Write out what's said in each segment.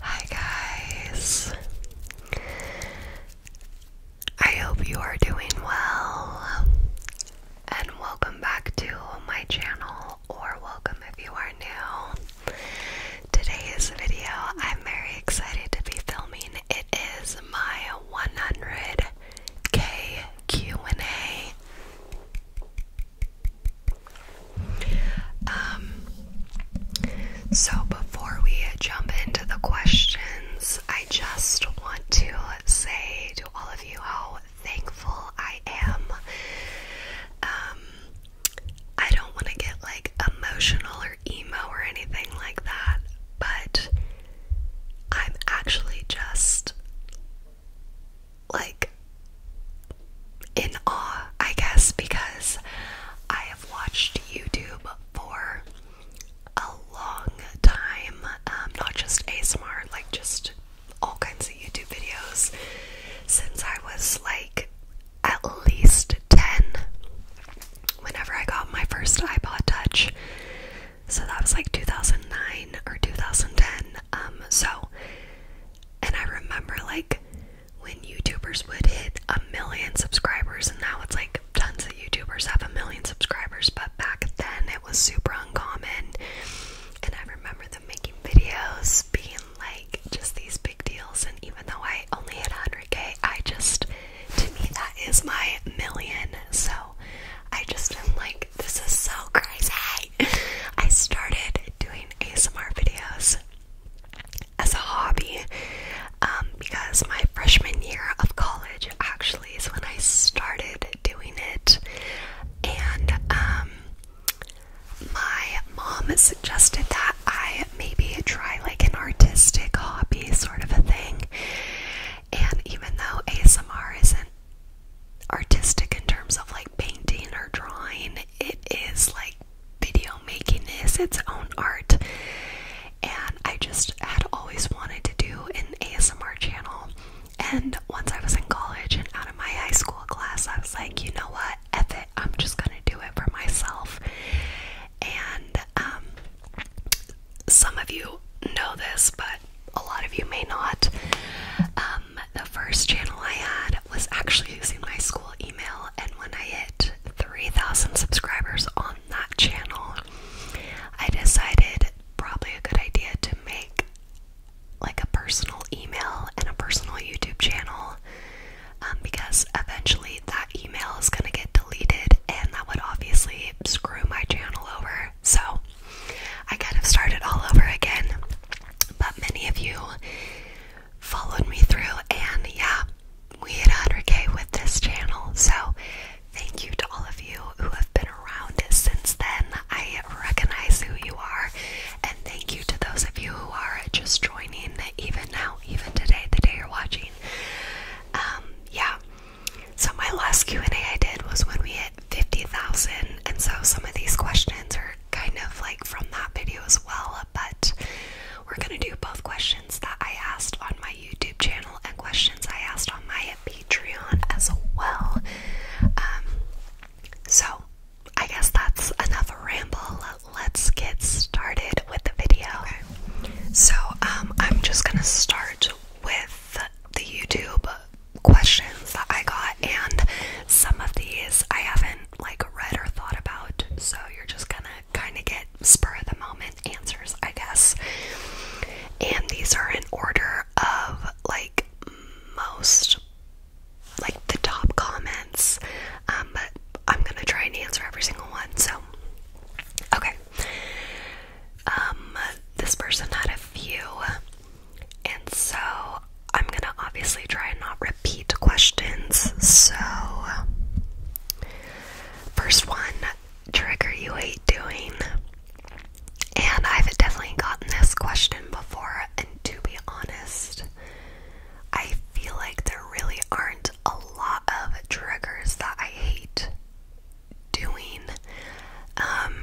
Hi, guys. I hope you are doing well, and welcome back to my channel, or welcome if you are new. Today's video, I'm very excited to be filming. It is my 100k Q&A. Um so before we jump into the questions, I just want to say to all of you how thankful I am. Um I don't want to get like emotional or emo or anything like that, but I'm actually just like in awe, I guess, because I have watched YouTube for a long time, um, not just ASMR, like just all kinds of YouTube videos since I was like at least 10. Whenever I got my first iPod Touch, so that was like 2009 or 2010. Um, so, and I remember like when YouTubers would hit a million subscribers, and now it's like tons of YouTubers have a million subscribers, but back then it was super uncommon. And I remember them making videos being like just these big deals, and even though I only hit 100k, I just to me that is my million so I just am like, this is so crazy. I started doing ASMR videos as a hobby um, because my freshman year of college actually is when I started doing it. And um, my mom suggested that I maybe try like an artistic hobby sort of a thing. And even though ASMR isn't artistic in terms of like painting or drawing. It is like video making is its own art. And I just had always wanted to do an ASMR channel. And once I was in college and out of my high school class, I was like, you know what? I'm just gonna do it for myself. And um some of you know this, but a lot of you may not. Um, the first channel I had was actually using my school email, and when I hit 3,000 subscribers on that channel, I decided probably a good idea to make like a personal email and a personal YouTube channel um, because eventually that email is going to get deleted, and that would obviously screw my channel over. So I kind of started all over again. But many of you followed me through, and yeah, we hit 100k with this channel. So thank you to all of you who have been around since then. I recognize who you are, and thank you to those of you who are just joining even now, even today, the day you're watching. Um, yeah, so my last Q&A I did was when we hit 50,000 and so some of these questions are kind of like from that video as well, but we're going to do both questions that I asked on my YouTube channel and questions I asked on my Patreon as well. Um, so I guess that's enough ramble. Let's get started with the video. So um, I'm just going to start with the YouTube questions that I got, and some of these I haven't like read or thought about, so you're just gonna kind of get spur of the moment answers, I guess. And these are in order of like most like the top comments, um, but I'm gonna try and answer every single one, so okay. Um, this person had a few, and so I'm gonna obviously try and not repeat questions. So, first one trigger you hate doing, and I've definitely gotten this question before, and to be honest, I feel like there really aren't a lot of triggers that I hate doing. Um,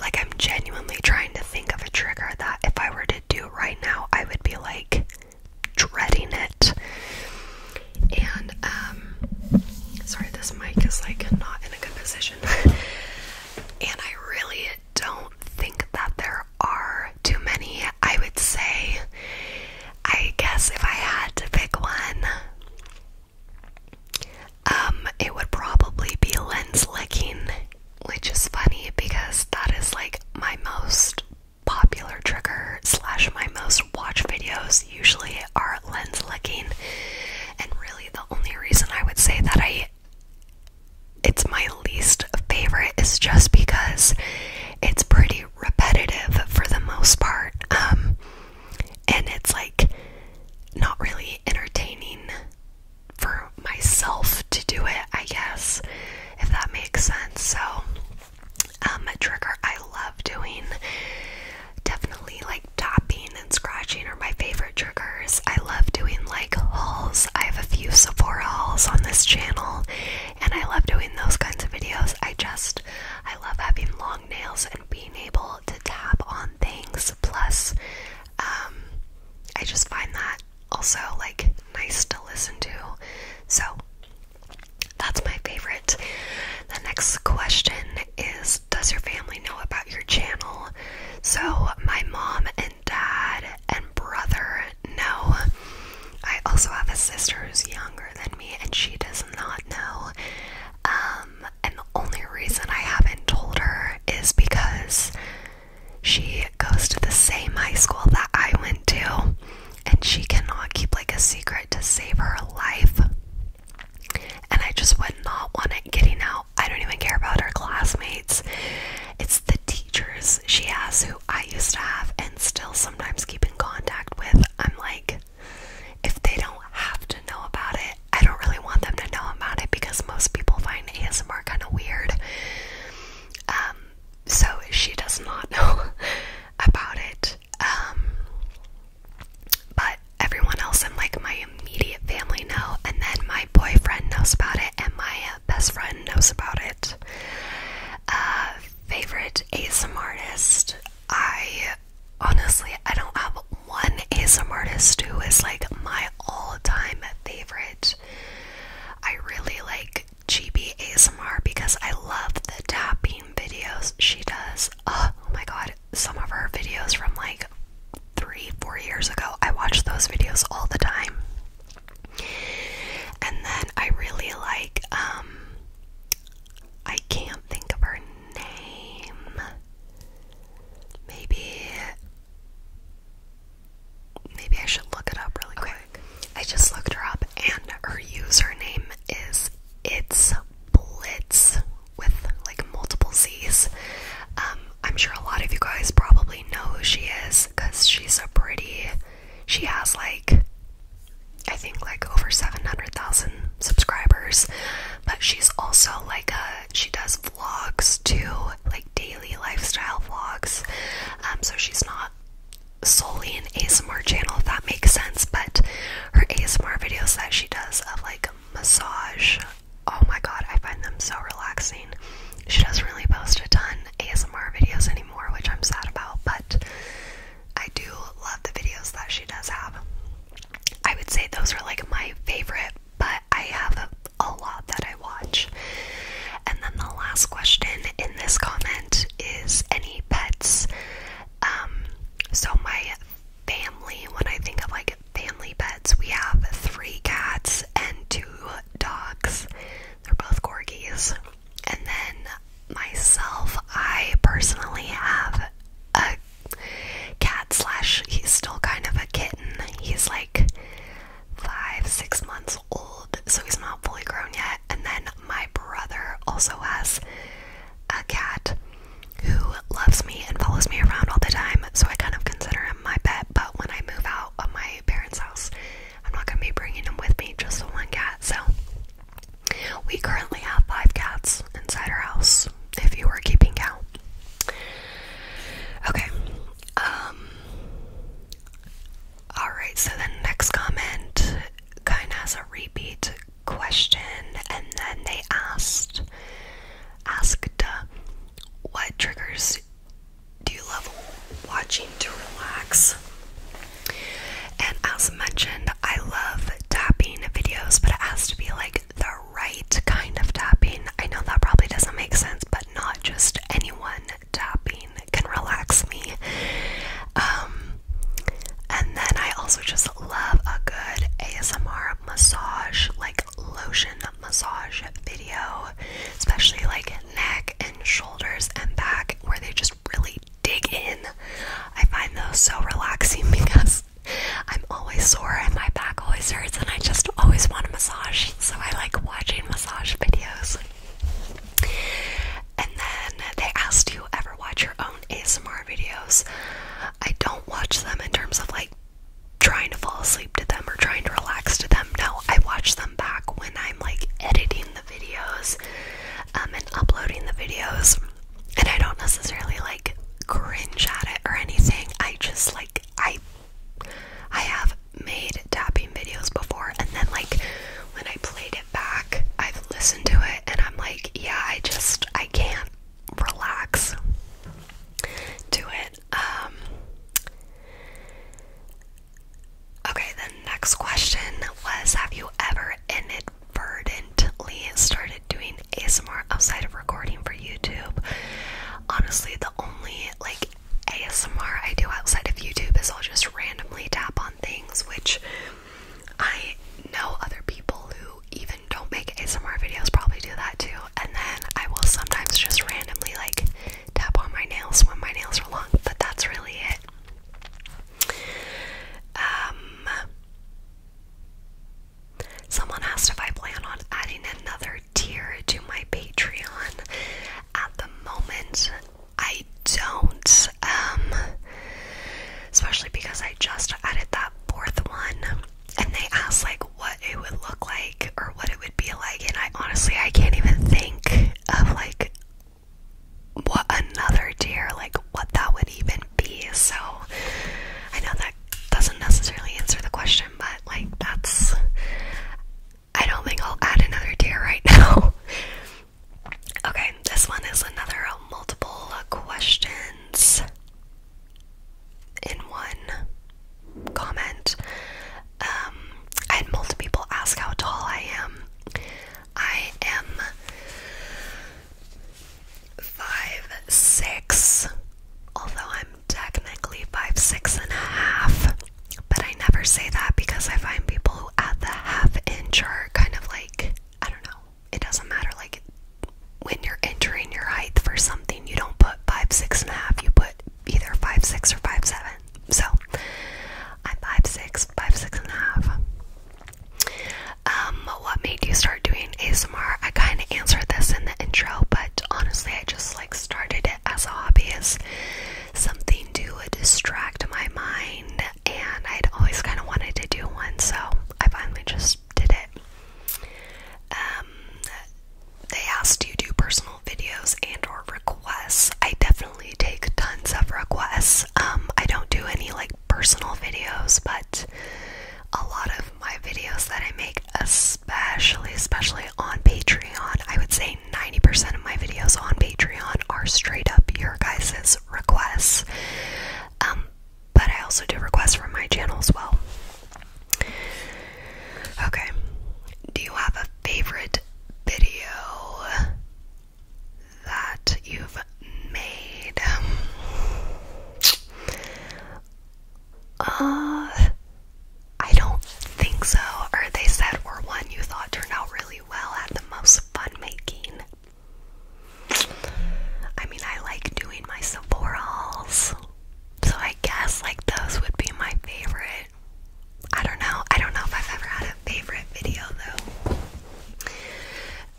like, I'm genuinely trying to think of a trigger that if I were to do right now, I would be like dreading it. And, um, sorry, this mic is like not in a good position. and I really don't think that there are too many. I would say, I guess if I had to pick one, um, it would probably be lens licking, which is funny because that is like my most popular trigger slash my most watch videos usually are lens licking. And really the only reason I would say that I it's my least favorite is just because it's pretty repetitive for the most part. Um, and it's like not really entertaining for myself to do it, I guess, if that makes sense. So, um, a trigger I love doing definitely like tapping and scratching are my favorite triggers. I love doing like hauls, I have a few Sephora hauls on this channel, and I love doing those kinds of videos. I just I love having long nails and being able to tap on things. Plus, um, I just find that also like nice to listen to. So that's my favorite. The next question is Does your family know about your channel? So, my mom and dad and brother know. I also have a sister who's younger than me, and she does not know. Um, and the only reason I haven't told her is because she goes to the same high school that I went to, and she cannot keep like a secret to save her life. And I just would not want it getting out. I don't even care about her classmates. It's the teachers she has who I used to have and still sometimes keep in contact with. I'm like, if they don't have to know about it, I don't really want them to know about it because most people find ASMR kind of weird. Um, so she does not know about it. Um, but everyone else in like my immediate family know, and then my boyfriend knows about it, and my best friend knows about it. Uh, favorite ASMR artist? I honestly, I don't have one ASMR artist who is like my all-time favorite. I really like GB ASMR because I love the tapping videos she does. Oh, my god, some of her videos from like three, four years ago, I watch those videos all the time. And then I really like um I can't think of her name. Maybe maybe I should look it up really quick. I just looked her up and her username is it's blitz with like multiple Z's. Um, I'm sure a lot of you guys probably know who she is because she's so pretty she has like I think like over 700,000 subscribers, but she's also like a she does vlogs too, like daily lifestyle vlogs. Um, so she's not solely an ASMR channel if that makes sense, but her ASMR videos that she does of like massage, oh my god, I find them so relaxing. She doesn't really post a ton ASMR videos anymore, which I'm sad about, but I do love the videos that she does have. I would say those are like my favorite, but I have a, lot that I watch. And then the last question in this comment is any pets? Um, so my family, when I think of like family pets, we have three cats and two dogs. They're both gorgies, And then myself, I personally have a cat slash he's still kind of a kitten. He's like five, six months old, so he's not fully grown yet. And then my brother also has a cat who loves me and follows me around all the time, so I kind of consider him my pet. But when I move out of my parents' house, I'm not gonna be bringing him with me, just the one cat. So we currently have five cats inside our house, if you were keeping count. Okay. Um, Alright, so the next comment kind has a repeat question and then they asked asked uh, what triggers do you love watching to relax? And as mentioned, I love tapping videos, but it has to be like the right kind of tapping. I know that probably doesn't make sense, but not just anyone tapping can relax me. Um, and then I also just love a good ASMR massage, like lotion massage video, especially like neck and shoulders and back, where they just really I dig in. I find those so relaxing because I'm always sore and my back always hurts, and I just always want a massage. So I like watching massage videos. And then they asked, Do you ever watch your own ASMR videos? I don't watch them in terms of like trying to fall asleep to them or trying to relax to them. No, I watch them back when I'm like editing the videos um, and uploading the videos and I don't necessarily like cringe at it or anything. I just like I I have made tapping videos before and then like when I played it back, I've listened to it and I'm like, yeah, I just I can't relax Do it. Um Okay, the next question was have you ever ended? verdantly started doing ASMR outside of recording for YouTube. Honestly, the only like ASMR I do outside of YouTube is I'll just randomly tap on things, which I know other people who even don't make ASMR videos probably do that too. And then I will sometimes just randomly like tap on my nails when my nails are long, but that's really it. Um Someone asked if I plan on adding another tier to my Patreon. At the moment, I don't. Um, especially because I just added that fourth one, and they asked like what it would look like or what it would be like, and I honestly I can't even think of like what another deer? like what that would even be. So I know that doesn't necessarily answer the question, but like that's I don't think I'll add another deer right now. okay, this one is another um, multiple questions in one comment. Um, I had multiple people ask how tall I am. I am five six, although I'm technically five six and a half, but I never say that because I find people who add the half inch are kind of like I don't know. It doesn't matter. Like when you're entering your height for something, you don't put five six and a half. You put either five six or five seven. So I'm five six, five six and a half. Um, what made you start doing ASMR? I kind of answered this in the intro, but honestly, I just like started it as a hobby, as something to distract my mind, and I'd always kind of wanted to do one, so I finally just did it. Um, they asked you to do personal videos and or requests. I definitely take tons of requests. Um, I don't do any like personal videos, but a lot of my videos that I make, especially especially on Patreon, I would say 90% of my videos on Patreon are straight up your guys' requests. Um, but I also do requests from my channel as well. Okay. Do you have a favorite video? that you've made. Uh, I don't think so. Or they said, or one you thought turned out really well, had the most fun making. I mean, I like doing my saborals, so I guess like those would be my favorite. I don't know. I don't know if I've ever had a favorite video though.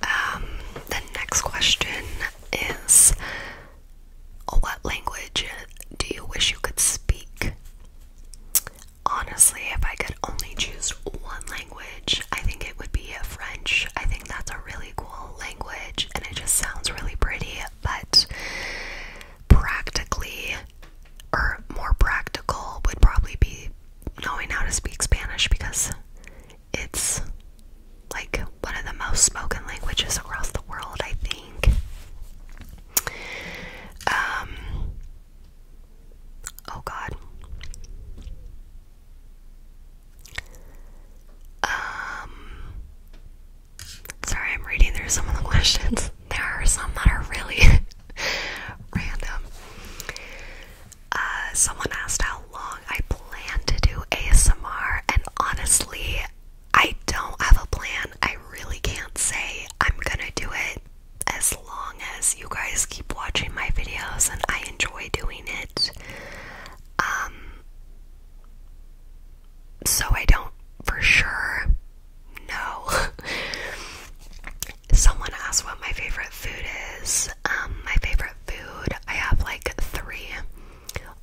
Um, the next question is What language do you wish you could speak? Honestly, if I could only choose one language, I think it would be uh, French. I think that's a really cool language and it just sounds really pretty, but practically or more practical would probably be knowing how to speak Spanish because it's like one of the most spoken languages across the world, I think. Um, oh God. Um, sorry, I'm reading through some of the questions. There are some that are really random. Uh, someone asked how long I plan to do ASMR, and honestly, I don't have a plan. I really can't say I'm gonna do it as long as you guys keep watching my videos and I enjoy doing it. Um, so I don't for sure know. Someone asked what my favorite food is. Um, my favorite food, I have like three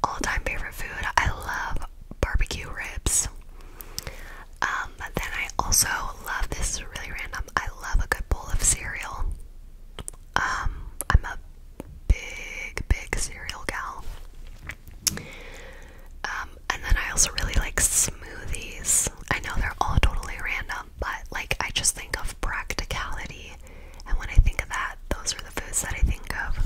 all time favorite food. I love barbecue ribs. Um, then I also love this really random. I love a good bowl of cereal. Um, I'm a big, big cereal gal. Um, and then I also really like smoothies. I know they're all totally random but like I just think of practicality, and when I think of that, those are the foods that I think of.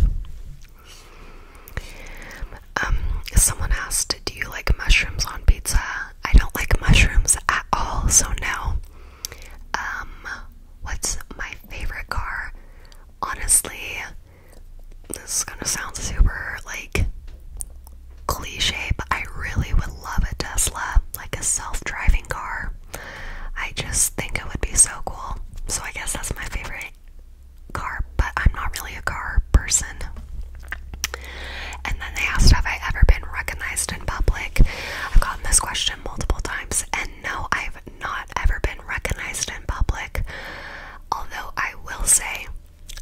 Um, someone asked, Do you like mushrooms on pizza? I don't like mushrooms at all, so no. Um, what's my favorite car? Honestly, this is gonna sound super like cliche, but I really would love a Tesla, like a self driving car. I just think it would be so cool. So I guess that's my favorite car, but I'm not really a car person. And then they asked, Have I ever been recognized in public? I've gotten this question multiple times, and no, I've not ever been recognized in public. Although I will say,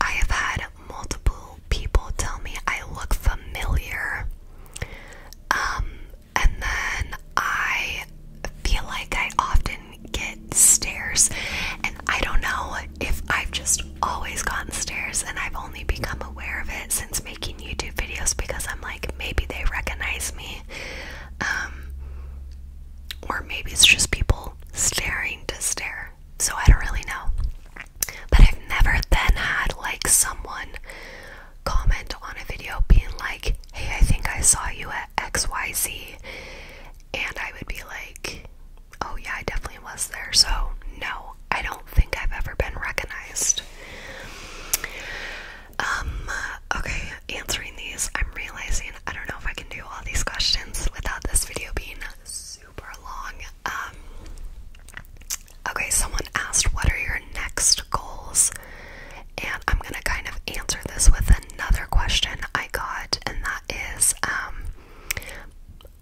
I have had multiple people tell me I look familiar. Um, and then I feel like I often get stares, and I don't know if I've just always gotten stares and I've only become aware of it since making YouTube videos because I'm like, maybe they recognize me. Um, or maybe it's just people staring to stare. So I don't really know. But I've never then had like someone comment on a video being like, hey, I think I saw you at XYZ. And I would be like, oh, yeah, I definitely was there. So, no, I don't think I've ever been recognized. Um, okay, answering these, I'm realizing I don't know if I can do all these questions without this video being super long. Um, okay, someone asked, What are your next goals? And I'm gonna kind of answer this with another question I got, and that is um,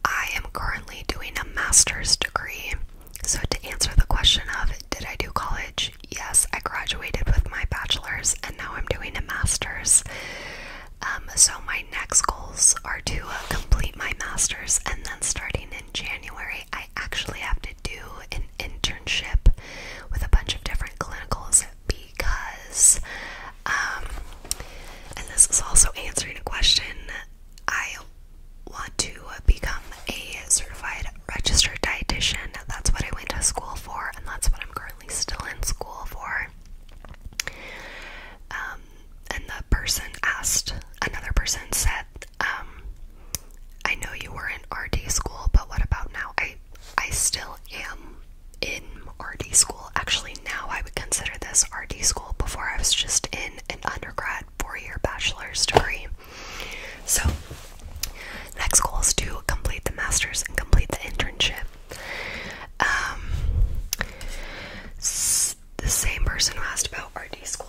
I am currently doing a master's degree. So, to answer the question of, Did I do college? Yes, I graduated with my bachelor's, and now I'm doing a master's. Um, so, my next goals are to uh, complete my master's, and then starting in January, I actually have to do an internship with a bunch of different clinicals because, um, and this is also answering a question, I want to become a certified registered dietitian. That's what I went to school for, and that's what I'm currently still in school for. Um, and the person asked another person said um, I know you were in RD school but what about now I I still am in RD school actually now I would consider this RD school before I was just in an undergrad four-year bachelor's degree so next goal is to complete the masters and complete the internship um, the same person who asked about RD school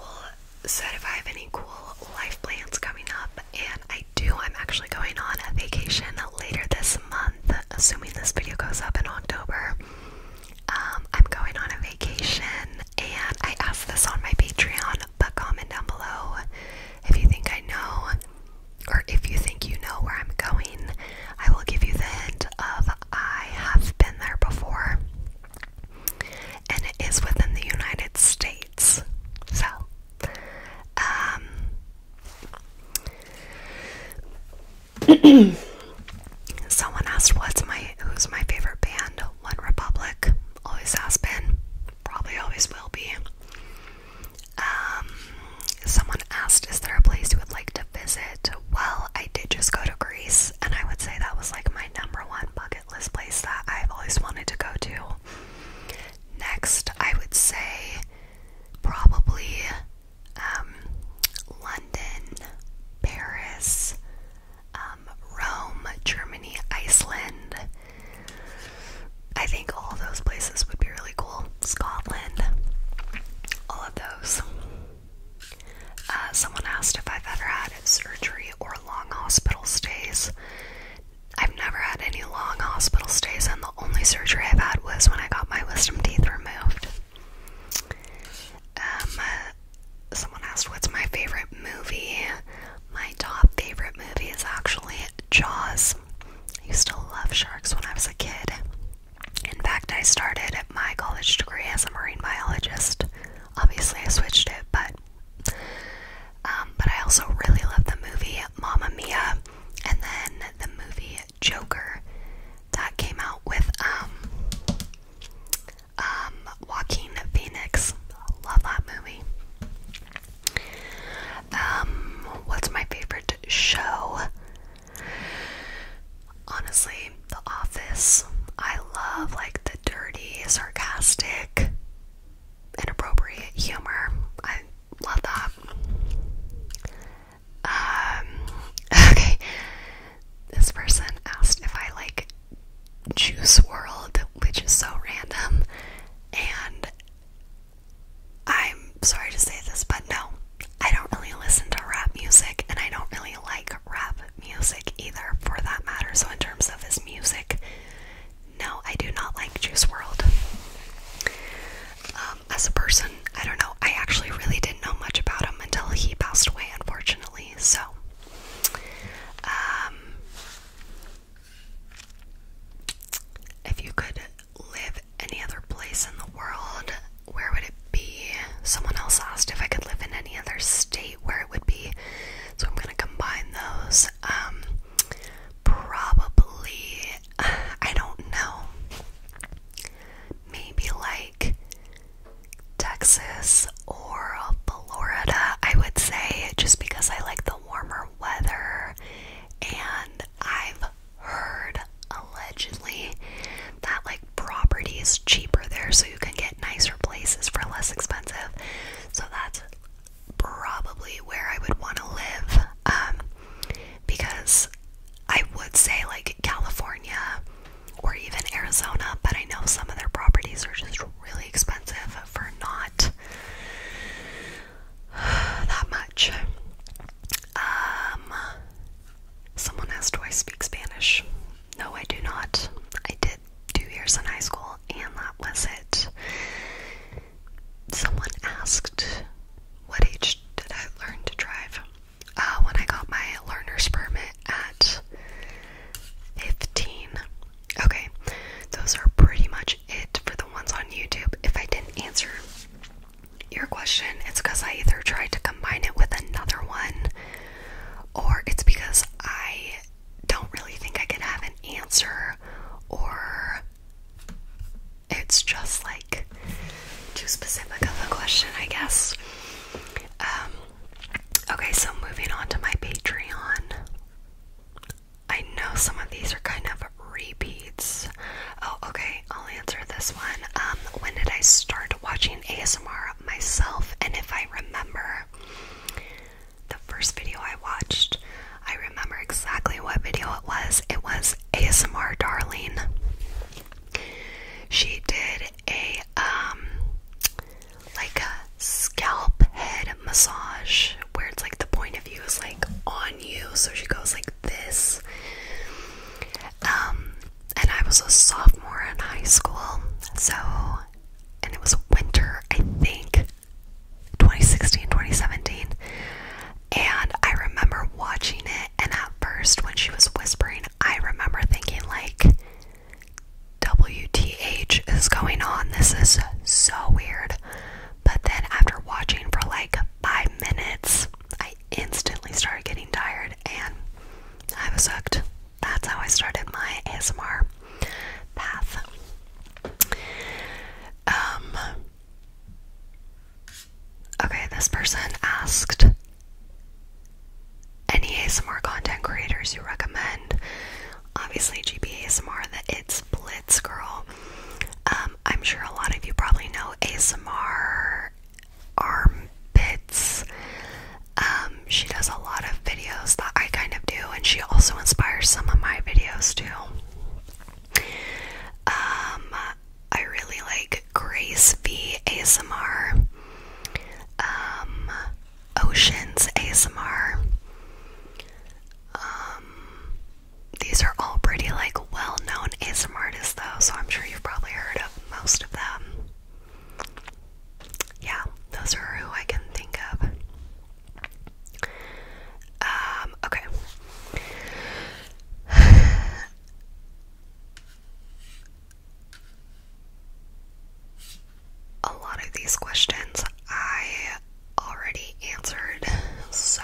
said if I have any cool life plans coming up, and I do. I'm actually going on a vacation later this month, assuming this video goes up in October. Um, I'm going on a vacation, and I asked this on my Patreon, but comment down below if you think I know, or if you think you know where I'm going. I will give you the hint of I have been there before, and it is within the United States. So, um, someone asked, "What's my who's my favorite band?" One Republic always has been, probably always will be. Um, someone asked, "Is there a place you would like to visit well, I did just go to Greece, and I would say that was like my number one bucket list place that I've always wanted to go to. Next, I would say probably um, London, Paris, um, Rome, Germany, Iceland. I think all those places would be really cool. Scotland, all of those. Uh, someone asked if I've ever had surgery or long hospital stays. I've never had any long hospital stays, and the only surgery I've had was when I got my wisdom teeth removed. Um, uh, someone asked what's my favorite movie. My top favorite movie is actually Jaws. I used to love sharks when I was a kid. In fact, I started my college degree as a marine biologist. Obviously, I switched it, but um, but I also really love the movie Mamma Mia, and then the movie Joker that came out with um um Joaquin Phoenix. Love that movie. Um, what's my favorite show? Honestly, The Office, I love like the dirty, sarcastic, inappropriate humor. I love that. Um, okay. This person asked if I like Juice World, which is so random, and I'm sorry to say this, but no, I don't really listen to rap music, and I don't really like rap music either, for that matter. So, in terms of his music, no, I do not like Juice World. Um, as a person, I don't know. I actually really didn't know much about him until he passed away, unfortunately. So, um, if you could live any other place in the world, where would it be? Someone else asked if I could live in any other state where it would be. So I'm gonna combine those. Um, probably, I don't know. Maybe like Texas or Florida, I would say, just because I like the warmer weather and I've heard allegedly that like property is cheaper there, so you can get nicer places for less expensive. So that's probably where I would want to live, um, because I would say like California or even Arizona, but I know some of their properties are just really expensive for not that much. Um, Someone asked, Do I speak Spanish? No, I do not. I did two years in high school, and that was it. Someone asked, What age did I learn to drive? Uh, when I got my learner's permit at 15. Okay, those are pretty much it for the ones on YouTube. If I didn't answer your question, it's because I either tried to combine it with another one or it's because I don't really think I can have an answer or it's just like too specific of a question, I guess. Um, okay, so moving on to my Patreon. I know some of these are kind of repeats, Oh, okay, I'll answer this one. Um, when did I start watching ASMR myself? And if I remember the first video I watched, I remember exactly what video it was. It was ASMR Darling. She did a um like a scalp head massage where it's like the point of view is like on you so she goes like this um, and I was a sophomore in high school, so, and it was winter, I think, 2016, 2017. And I remember watching it, and at first, when she was whispering, I remember thinking, like, WTH is going on? This is so weird. But then, after watching for like five minutes, I instantly started getting tired and I was hooked. That's how I started my ASMR path. Um, okay, this person asked any ASMR content creators you recommend. Obviously, GP ASMR, that it's Blitz Girl. Um, I'm sure a lot of you probably know ASMR armpits. Um, she does a lot of videos that I kind of do, and she also inspires some of my videos too. Um, I really like Grace V ASMR, um, Oceans ASMR. these are all pretty like well-known ASMR artists though, so I'm sure you've probably heard of most of them. Yeah, those are who I can think of. Um, okay. A lot of these questions I already answered, so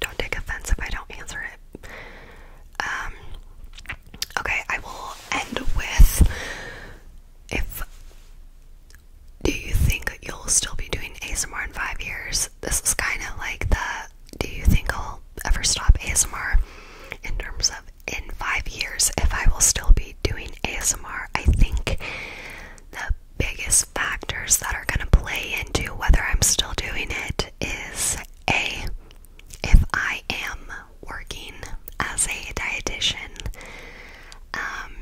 don't take offense if I don't answer it um, okay, I will end with if do you think you'll still be doing ASMR in five years? This is kind of like the do you think I'll ever stop ASMR in terms of in five years if I will still be doing ASMR? I think the biggest factors that are going to play into whether I'm still doing it is a. If I am working as a dietitian, um,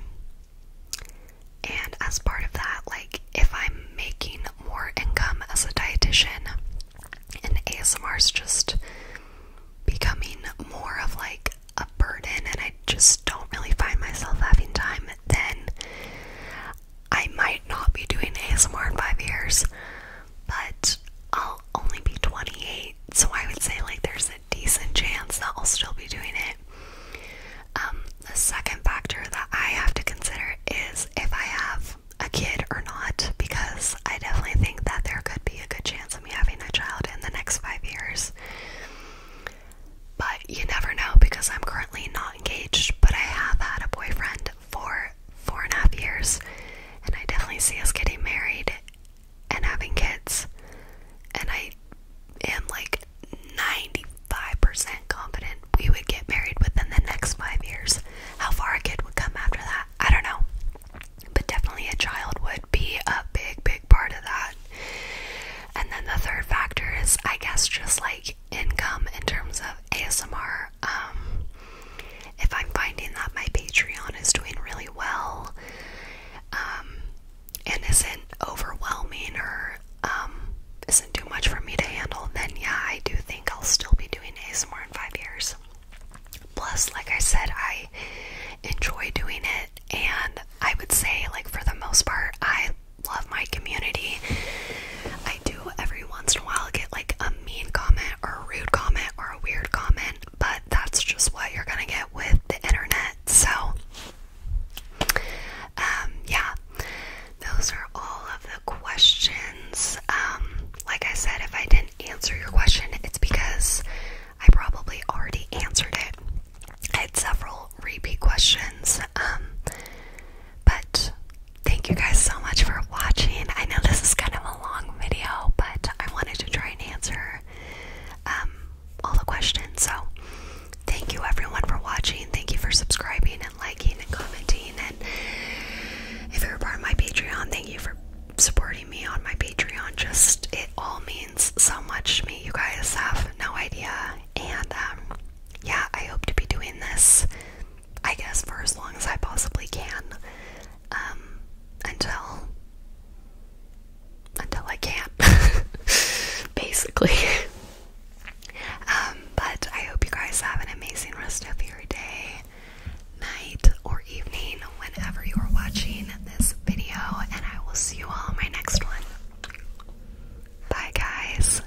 and as part of that, like if I'm making more income as a dietitian, and ASMR's just becoming more of like a burden, and I just don't really find myself having time, then I might not be doing ASMR in five years, but I'll only be 28, so I would say like there's a decent chance that I'll still be doing it. Um, the second factor that I have to consider is if I have a kid or not, because I definitely think that there could be a good chance of me having a child in the next five years. But you never know because I'm currently not engaged, but I have had a boyfriend for four and a half years, and I definitely see us getting married and having kids. And I am like 95% confident we would get married within the next five years. How far a kid would come after that, I don't know. But definitely a child would be a big, big part of that. And then the third factor is, I guess, just like income in terms of ASMR. Um, if I'm finding that my Patreon is doing really well um, and isn't overwhelming or um, isn't too much for me to handle, then yeah, I do think I'll still be doing ASMR in five years. Plus, like I said, I enjoy doing it, and I would say, like, for the most part, I love my community. I do every once in a while get like a mean comment or a rude comment or a weird comment, but that's just what you're gonna get with the internet. So, um, yeah, those are all of the questions. Um, like I said, if I didn't answer your question, it's because I probably already answered it. I had several repeat questions, um, but thank you guys so much for watching. I know this is kind of a long video, but I wanted to try and answer um, all the questions. So, thank you everyone for watching. Thank you for subscribing and liking and commenting. And if you're part of my Patreon, thank you for supporting me on my Patreon. Just it all means so much to me. You guys have no idea. And um, yeah, I hope to be doing this I guess for as long as I possibly can um, until until I can't basically um, but I hope you guys have an amazing rest of your day night or evening whenever you are watching this video and I will see you all in my next one bye guys